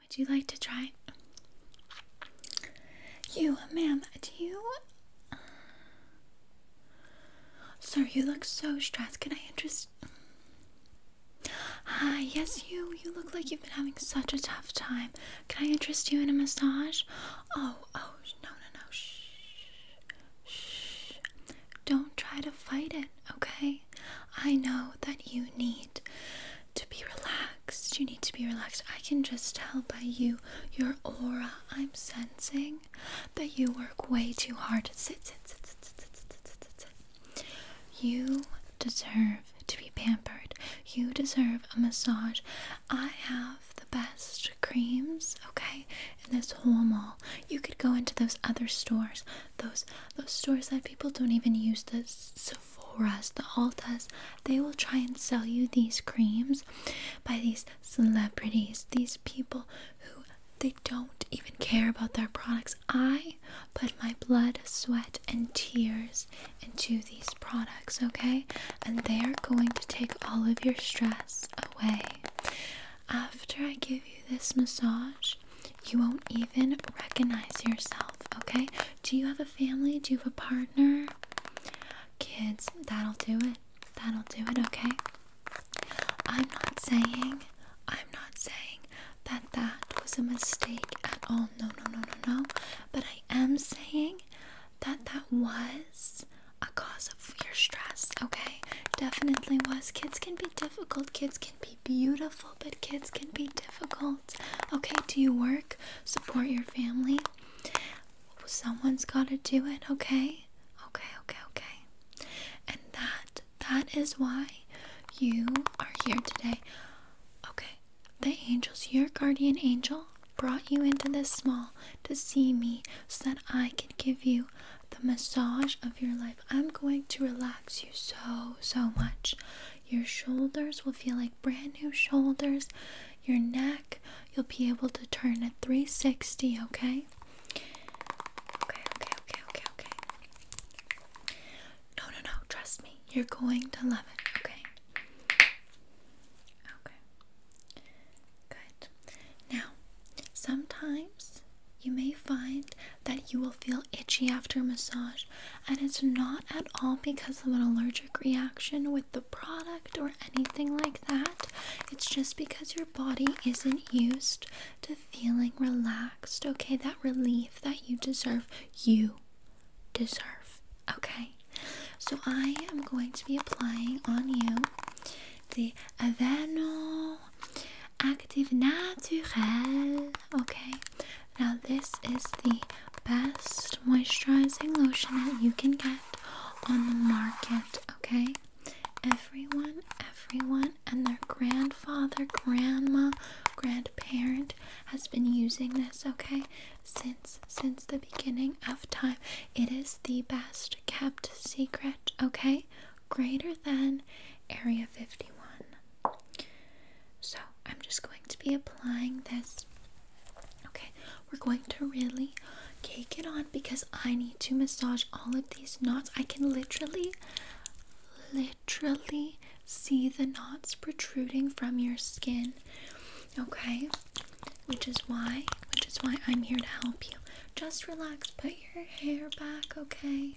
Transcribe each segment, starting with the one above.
Would you like to try? You, ma'am, do you? Sir, you look so stressed. Can I interest? Hi, ah, yes, you. You look like you've been having such a tough time. Can I interest you in a massage? Oh, oh, no, no, no. Shh. Shh. Don't try to fight it, okay? I know that you need to be relaxed. You need to be relaxed. I can just tell by you, your aura, I'm sensing that you work way too hard. Sit, sit, sit, sit, sit, sit, You deserve to be pampered. You deserve a massage. I have the best creams, okay, in this whole mall. You could go into those other stores those those stores that people don't even use the Sephora's, the Altas. They will try and sell you these creams by these celebrities, these people who they don't even care about their products. I put my blood, sweat, and tears into these products, okay? And they are going to take all of your stress away. After I give you this massage, you won't even recognize yourself, okay? Do you have a family? Do you have a partner? Kids, that'll do it. That'll do it, okay? I'm not saying, I'm not saying that that was a mistake at all. No, no, no, no, no. But I am saying that that was a cause of your stress, okay? Definitely was. Kids can be difficult. Kids be beautiful, but kids can be difficult. Okay, do you work? Support your family? Someone's got to do it, okay? Okay, okay, okay. And that, that is why you are here today. Okay, the angels, your guardian angel brought you into this small to see me so that I could give you the massage of your life. I'm going to relax you so, so much. Your shoulders will feel like brand new shoulders. Your neck, you'll be able to turn at 360, okay? Okay, okay, okay, okay, okay. No, no, no, trust me. You're going to love it, okay? Okay. Good. Now, sometimes you may find that you will feel itchy after massage, and it's not at all because of an allergic reaction with the product or anything like that. It's just because your body isn't used to feeling relaxed, okay? That relief that you deserve, you deserve, okay? So I am going to be applying on you the Aveno Active Naturel. Okay, now this is the best moisturizing lotion that you can get on the market. Okay, everyone, everyone, and their grandfather, grandma, grandparent has been using this. Okay, since since the beginning of time, it is the best kept secret. Okay greater than area 51. So I'm just going to be applying this. Okay, we're going to really cake it on because I need to massage all of these knots. I can literally, literally see the knots protruding from your skin. Okay, which is why, which is why I'm here to help you. Just relax, put your hair back, okay?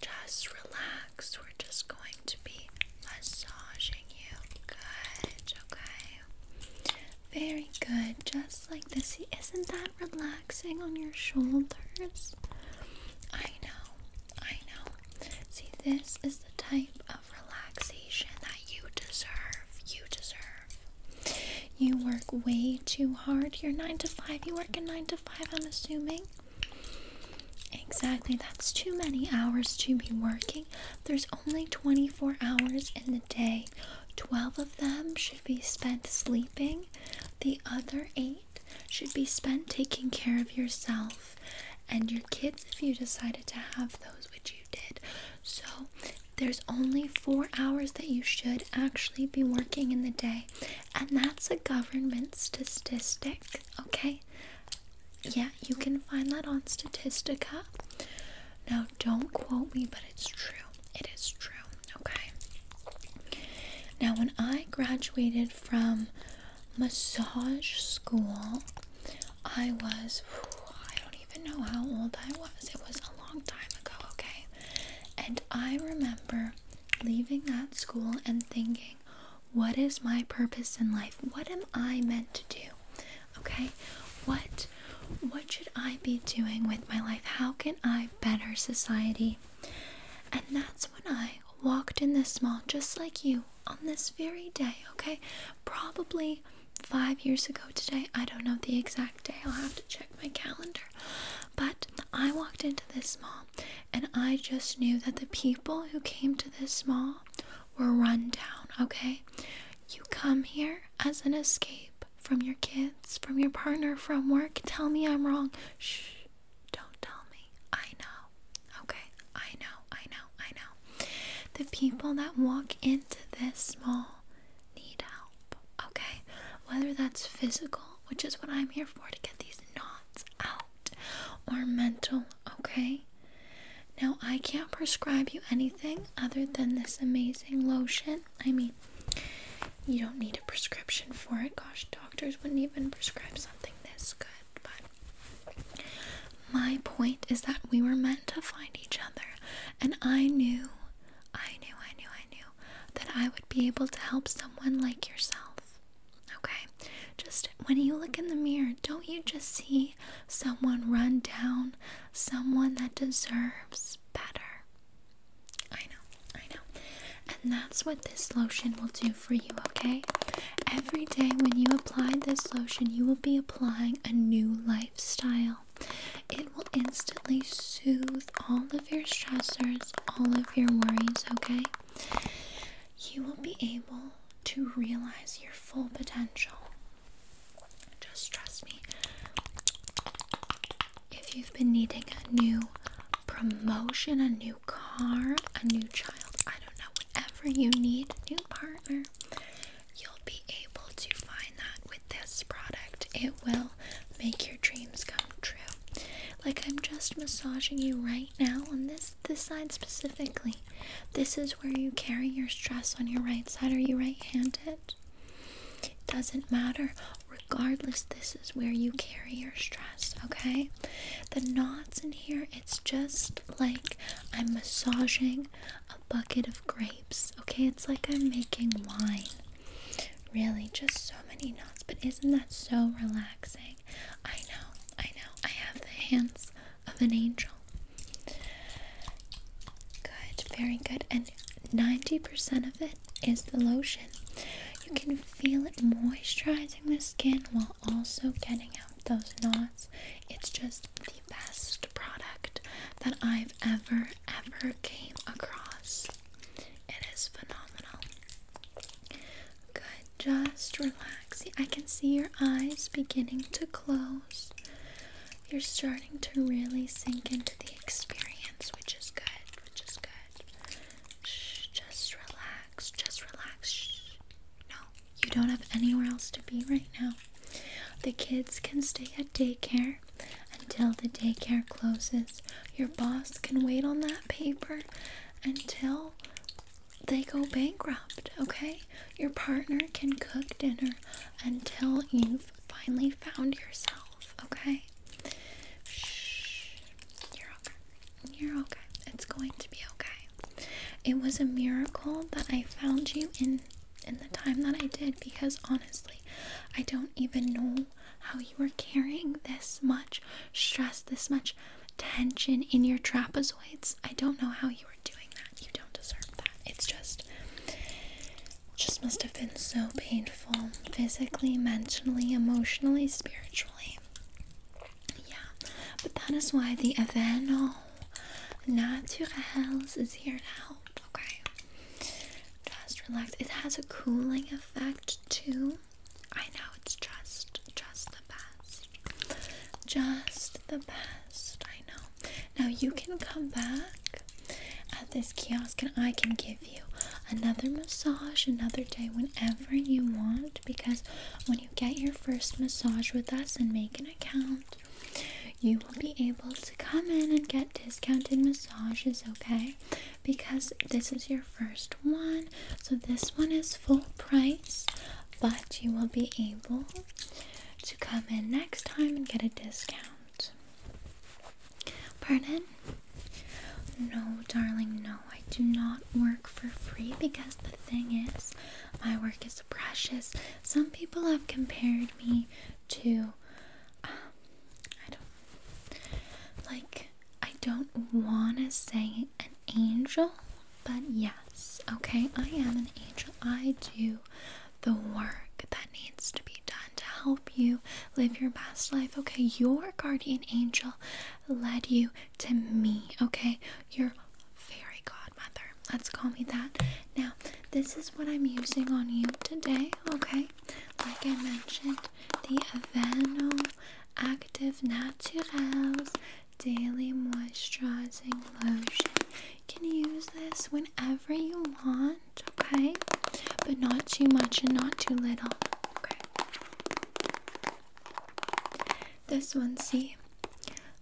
Just relax. We're just going to be massaging you. Good, okay. Very good. Just like this. Isn't that relaxing on your shoulders? I know. I know. See, this is the type of relaxation that you deserve. You deserve. You work way too hard. You're 9 to 5. You work in 9 to 5, I'm assuming. Exactly. That's too many hours to be working. There's only 24 hours in the day. 12 of them should be spent sleeping, the other 8 should be spent taking care of yourself and your kids if you decided to have those, which you did. So, there's only four hours that you should actually be working in the day, and that's a government statistic, okay? Yeah, you can find that on Statistica. Now, don't quote me, but it's true. It is true, okay? Now, when I graduated from massage school, I was, even know how old I was. It was a long time ago, okay? And I remember leaving that school and thinking, what is my purpose in life? What am I meant to do? Okay? What what should I be doing with my life? How can I better society? And that's when I walked in this mall just like you on this very day, okay? Probably five years ago today. I don't know the exact day, I'll have to check my calendar. But I walked into this mall and I just knew that the people who came to this mall were run down, okay? You come here as an escape from your kids, from your partner, from work. Tell me I'm wrong. Shh, don't tell me. I know, okay? I know, I know, I know. The people that walk into this mall need help, okay? Whether that's physical, which is what I'm here for to get these knots out, or mental, okay? Now, I can't prescribe you anything other than this amazing lotion. I mean, you don't need a prescription for it. Gosh, doctors wouldn't even prescribe something this good. But my point is that we were meant to find each other, and I knew I knew, I knew, I knew that I would be able to help someone like yourself. Okay? Just when you look in the mirror, don't you just see someone run down, someone that deserves better? I know, I know. And that's what this lotion will do for you, okay? Every day when you apply this lotion, you will be applying a new lifestyle. It will instantly soothe all of your stressors, all of your worries, okay? You will be able to realize your full potential. Just trust me. If you've been needing a new promotion, a new car, a new child, I don't know, whatever you need, a new partner, you'll be able to find that with this product. It will make your dreams come true. Like I'm just massaging you right now on this this side specifically. This is where you carry your stress on your right side. Are you right-handed? It doesn't matter. Regardless, this is where you carry your stress, okay? The knots in here, it's just like I'm massaging, bucket of grapes. Okay, it's like I'm making wine. Really, just so many knots. But isn't that so relaxing? I know, I know. I have the hands of an angel. Good, very good. And 90% of it is the lotion. You can feel it moisturizing the skin while also getting out those knots. It's just the best product that I've ever, ever came across. It is phenomenal. Good, just relax. I can see your eyes beginning to close. You're starting to really sink into the experience, which is good, which is good. Shh, just relax, just relax. No, you don't have anywhere else to be right now. The kids can stay at daycare until the daycare closes. Your boss can wait on that paper until they go bankrupt, okay? Your partner can cook dinner until you've finally found yourself, okay? Shh. You're okay. You're okay. It's going to be okay. It was a miracle that I found you in in the time that I did because honestly, I don't even know how you were carrying this much stress, this much tension in your trapezoids. I don't know how you were doing that. You don't deserve that. It's just just must have been so painful physically, mentally, emotionally, spiritually. Yeah, but that is why the Avenol Natural Naturals is here to help. Okay, just relax. It has a cooling effect too. I know it's just, just the best, just the best. I know. Now you can come back at this kiosk, and I can give you another massage another day whenever you want. Because when you get your first massage with us and make an account, you will be able to come in and get discounted massages, okay? Because this is your first one, so this one is full price, but you will be able to come in next time and get a discount. Pardon? No, darling, no, I do not work for free because the thing is, my work is precious. Some people have compared me to, um, I don't, like, I don't want to say an angel, but yes, okay, I am an angel. I do the work that needs to be done to help you live your best life. Okay, your guardian angel led you to me, okay? Your fairy godmother. Let's call me that. Now, this is what I'm using on you today, okay? Like I mentioned, the Aveeno Active Naturals Daily Moisturizing Lotion. You can use this whenever you want, okay? But not too much and not too little, okay? This one, see,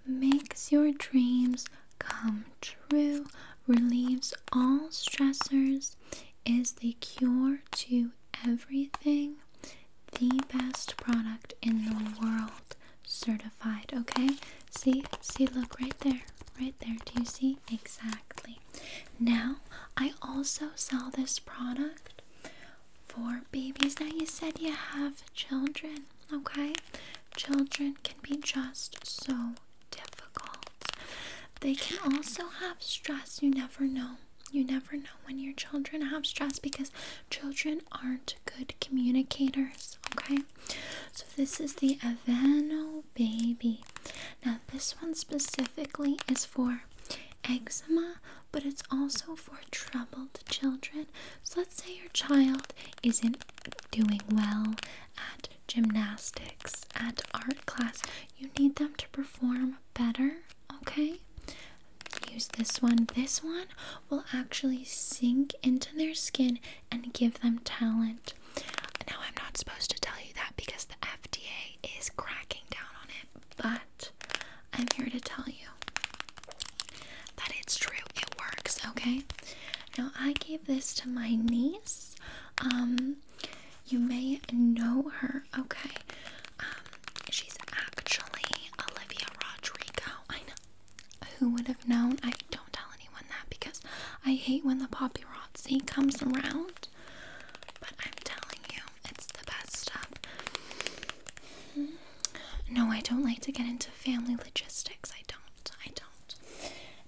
makes your dreams come true, relieves all stressors, is the cure to everything, the best product in the world, certified. Okay, see, see, look right there, right there. Do you see exactly? Now, I also sell this product for babies. Now, you said you have children, okay? Children can be just so difficult. They can also have stress. You never know. You never know when your children have stress because children aren't good communicators, okay? So, this is the Avano Baby. Now, this one specifically is for eczema, but it's also for troubled children. So let's say your child isn't doing well at gymnastics, at art class. You need them to perform better, okay? Use this one. This one will actually sink into their skin and give them talent. Now, I'm not supposed to tell you that because the FDA is cracking down on it, but I'm here to tell you that it's true. It works, okay? Now, I gave this to my niece. Um, you may know her, okay? Um, she's actually Olivia Rodrigo. I know. Who would have known? I don't tell anyone that because I hate when the paparazzi comes around. But I'm telling you, it's the best stuff. Hmm. No, I don't like to get into family logistics. I don't. I don't.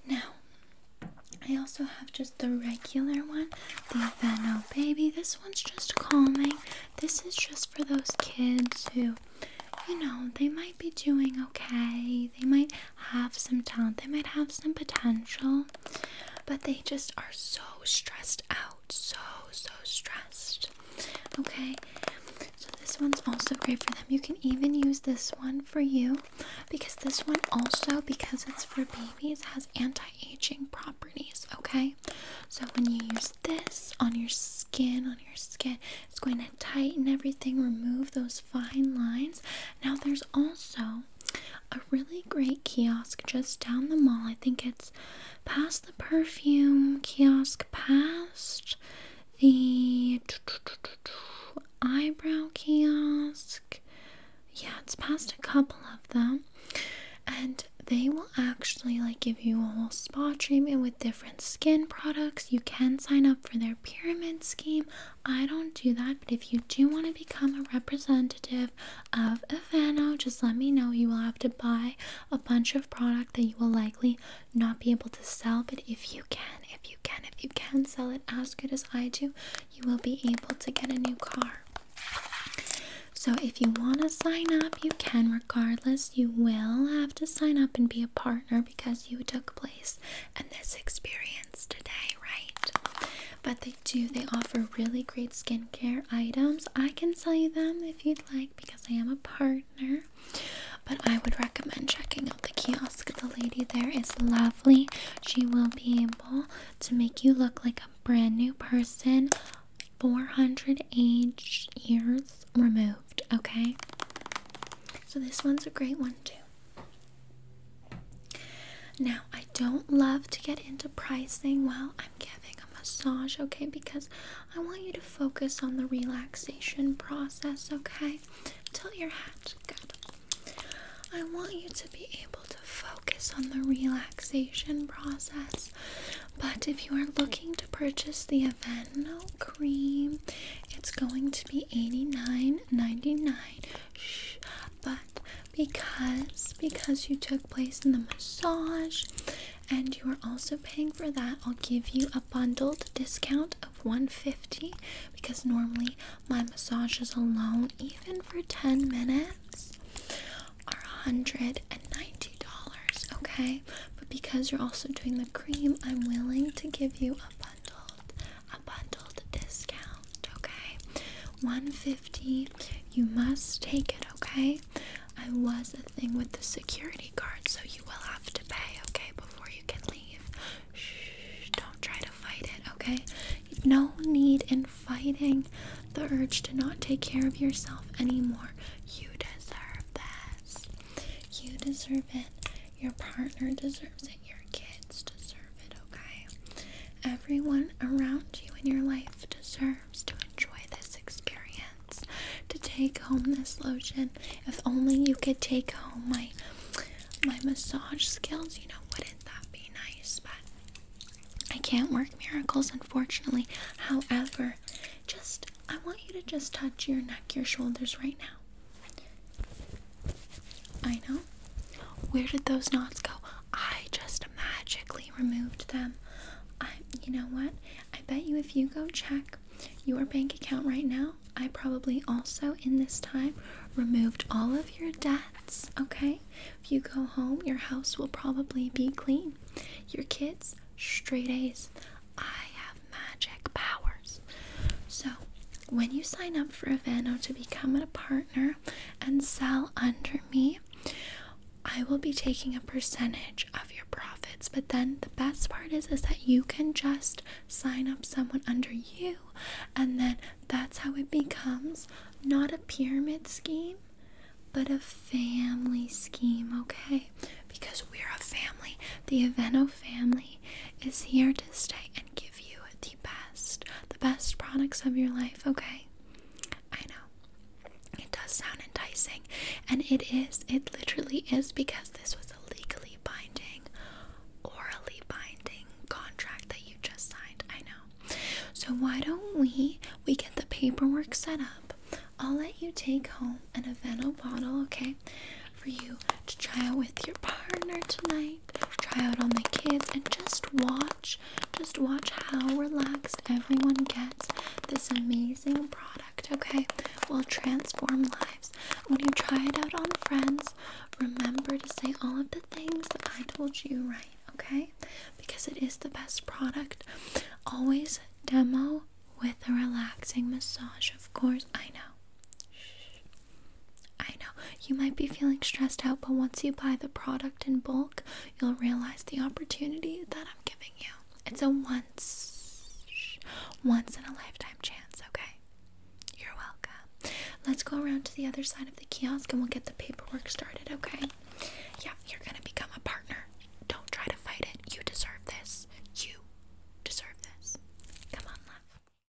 Now, I also have just the regular one, the Veno Baby. This one's just calming. This is just for those kids who, you know, they might be doing okay. They might have some talent. They might have some potential, but they just are so stressed out so, so stressed. Okay, so this one's also great for them. You can even use this one for you because this one also, because it's for babies, has anti aging properties. Okay, so when you use this on your skin, on your skin, it's going to tighten everything, remove those fine lines. Now, there's also a really great kiosk just down the mall. I think it's past the perfume kiosk, past the eyebrow kiosk. Yeah, it's past a couple of them, and they will actually like give you a whole spa treatment with different skin products. You can sign up for their pyramid scheme. I don't do that, but if you do want to become a representative of Evano, just let me know. You will have to buy a bunch of product that you will likely not be able to sell, but if you can, if you can, if you can sell it as good as I do, you will be able to get a new car. So, if you want to sign up, you can. Regardless, you will have to sign up and be a partner because you took place in this experience today, right? But the do. They offer really great skincare items. I can sell you them if you'd like because I am a partner. But I would recommend checking out the kiosk. The lady there is lovely. She will be able to make you look like a brand new person 400 age years removed. Okay? So this one's a great one too. Now, I don't love to get into pricing. Well, I'm giving a massage, okay? Because I want you to focus on the relaxation process, okay? Tilt your hat, good. I want you to be able to focus on the relaxation process. But if you are looking to purchase the Aveno cream, it's going to be $89.99. Shh, but because because you took place in the massage and you are also paying for that i'll give you a bundled discount of 150 because normally my massages alone even for 10 minutes are $190 okay but because you're also doing the cream i'm willing to give you a bundled a bundled discount okay 150 50 you must take it okay i was a thing with the security guard so you will have to pay okay before you can leave Shh, don't try to fight it okay no need in fighting the urge to not take care of yourself anymore you deserve this you deserve it your partner deserves it your kids deserve it okay Everyone around you in your life deserves to enjoy this experience, to take home this lotion. If only you could take home my my massage skills, you know, wouldn't that be nice? But I can't work miracles, unfortunately. However, just I want you to just touch your neck, your shoulders right now. I know. Where did those knots go? I just magically removed them. I, you know what? I bet you if you go check your bank account right now, I probably also in this time removed all of your debts. Okay? If you go home, your house will probably be clean. Your kids, straight A's. I have magic powers. So when you sign up for Avano to become a partner and sell under me, I will be taking a percentage of your profits. But then the best part is is that you can just sign up someone under you and then that's how it becomes not a pyramid scheme, but a family scheme, okay? Because we're a family. The Aveno family is here to stay and give you the the best, the best products of your life, okay? I know. It does sound enticing, and it is. It literally is because this was a legally binding, orally binding contract that you just signed. I know. So why don't we we get the paperwork set up? I'll let you take home an Aveno bottle, okay? For you to try out with your partner tonight try out on the kids, and just watch, just watch how relaxed everyone gets this amazing product, okay? Will transform lives. When you try it out on friends, remember to say all of the things that I told you right, okay? Because it is the best product. Always demo with a relaxing massage, of course. I know. Shh. I know you might be feeling stressed out, but once you buy the product in bulk, you'll realize the opportunity that I'm giving you. It's a once, once in a lifetime chance, okay? You're welcome. Let's go around to the other side of the kiosk and we'll get the paperwork started, okay? Yeah, you're gonna become a partner. Don't try to fight it. You deserve this. You deserve this. Come on, love.